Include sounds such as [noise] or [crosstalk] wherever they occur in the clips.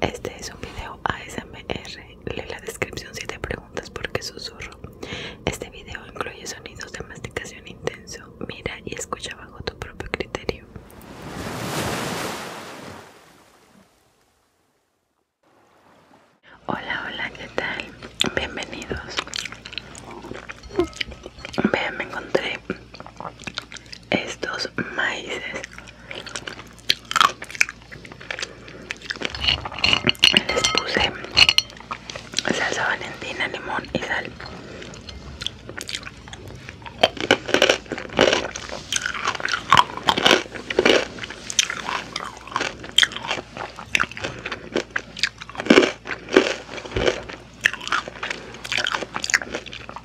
Este es un video ASMR. Lee la descripción si te preguntas por qué susurro. Este video incluye sonidos de masticación intenso. Mira y escucha bajo tu propio criterio. Hola, hola, ¿qué tal? Bienvenidos. Vean, me encontré estos maíces les puse salsa valentina, limón y sal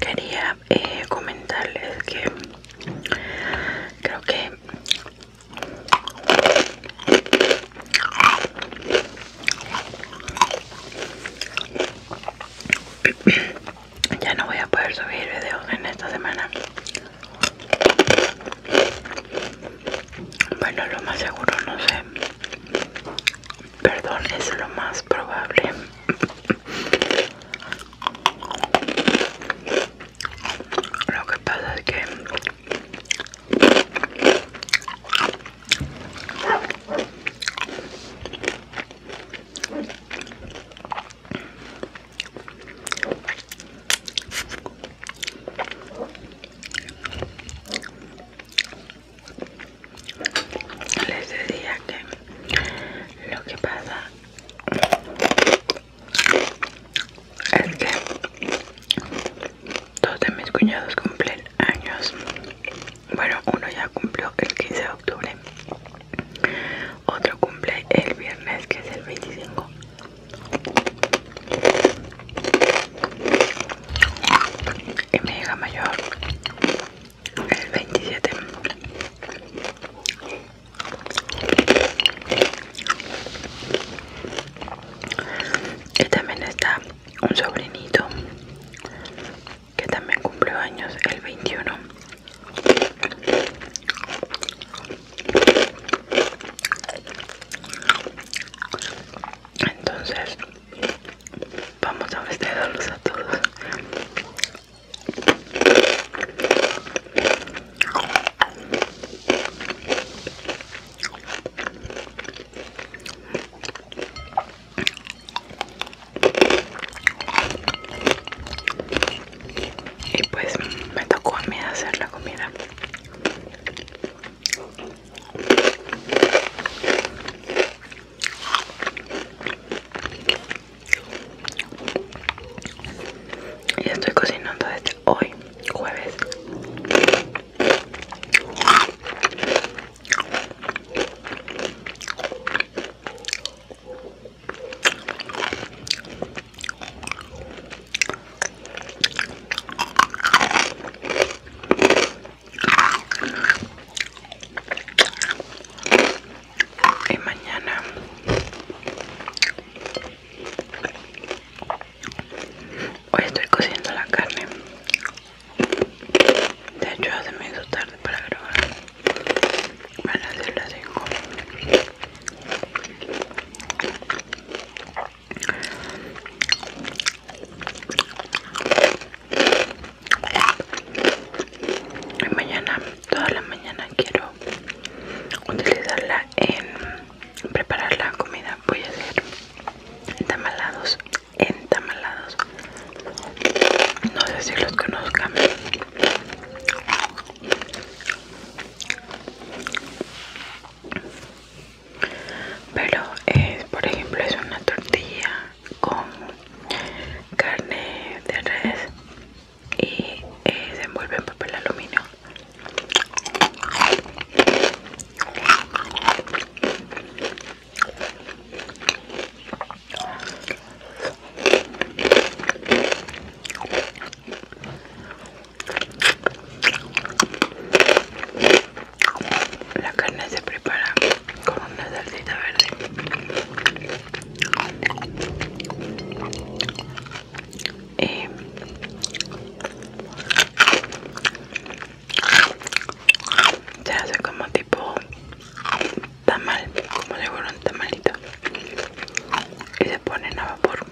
quería eh, comentarles que creo que [clears throat] ya no voy a poder subir videos en esta semana bueno lo más seguro no sé Perdón, es lo más probable. Lo que pasa es que les decía que lo que pasa es que dos de mis cuñados cumplen años bueno uno ya cumplió el 15 de octubre otro cumple el viernes que es el 25 y mi hija mayor el 27 y también está un sobrinito que también cumplió años el 21 entonces Vamos a los a todos. Y pues me tocó a mí hacer la comida. Y estoy cocinando desde hoy, jueves y mañana hoy estoy cociendo la carne de hecho hace me tarde para grabar van a ser las 5 y mañana, toda la mañana quiero utilizarla en preparar la comida. Voy a hacer entamalados. entamalados. No sé si los conozcan. Pero, por ejemplo, es una tortilla con carne de res y eh, se envuelve en papel aluminio la carne se prepara con una salsita verde. Eh, se hace como tipo tamal, como si fuera un tamalito. Y se ponen a vapor.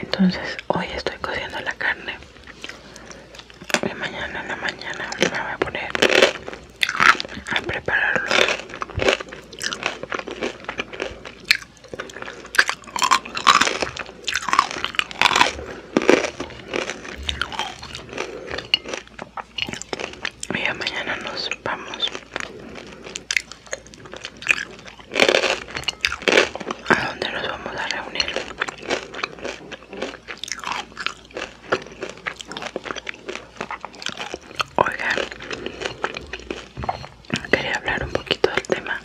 Entonces hoy estoy cociendo la carne y mañana en la mañana me voy a poner a prepararlo y ya mañana nos vamos a dónde nos vamos a reunir oigan quería hablar un poquito del tema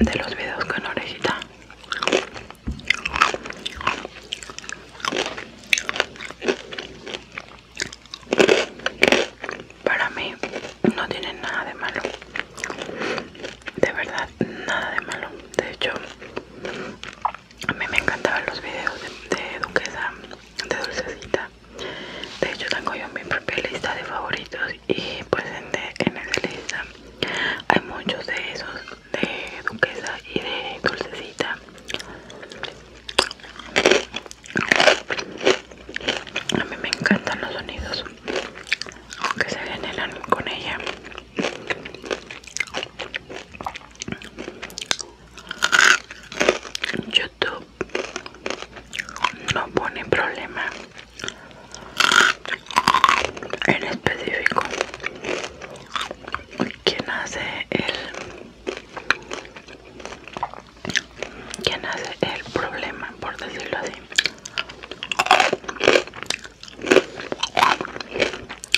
de los videos con orejita para mí no tiene nada de malo. De verdad, nada de malo. De hecho, a mí me encantaban los videos de, Duquesa, de Dulcecita. De hecho, tengo yo mi propia lista de favoritos y pues en, el lista hay muchos de esos de duquesa y de dulcecita a mí me encantan los sonidos aunque se generan con ella YouTube no pone problema en específico ¿quién hace el hace el problema por decirlo así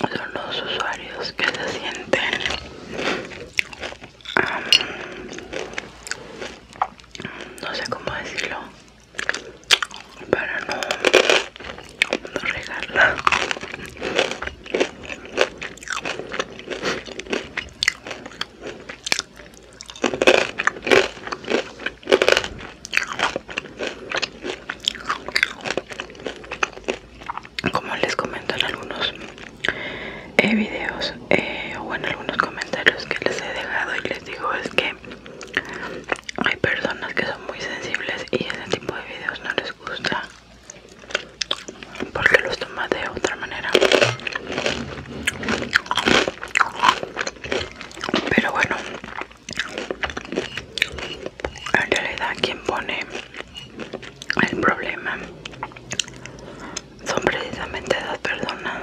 son los usuarios que se sienten um, no sé cómo decirlo para no, regarla como les comento en algunos eh, videos eh, o en algunos comentarios que les he dejado y les digo es que hay personas que son muy sensibles y ese tipo de videos no les gusta porque los toma de otra manera pero bueno en realidad quien pone el problema son precisamente esas personas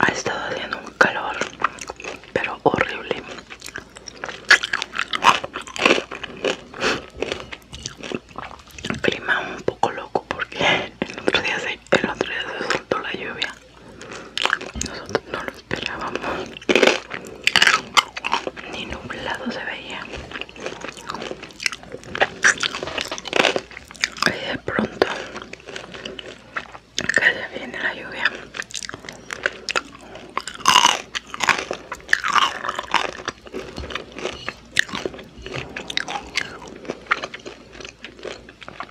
Ha estado haciendo un calor, pero horrible. Clima un poco loco porque el otro día se, el otro día se soltó la lluvia nosotros no lo esperábamos. Ni nublado se veía. Y de pronto que ya viene la lluvia.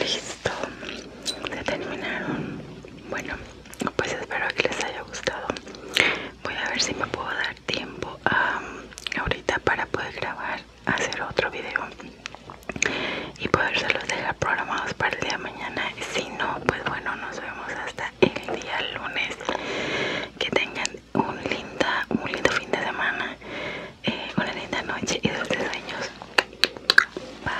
Listo, se terminaron. Bueno, pues espero que les haya gustado voy a ver si me puedo dar tiempo ahorita para poder grabar hacer otro video y los dejar programados para el día de mañana si no pues bueno nos vemos hasta el día lunes que tengan un linda un lindo fin de semana eh, una linda noche y dulces sueños bye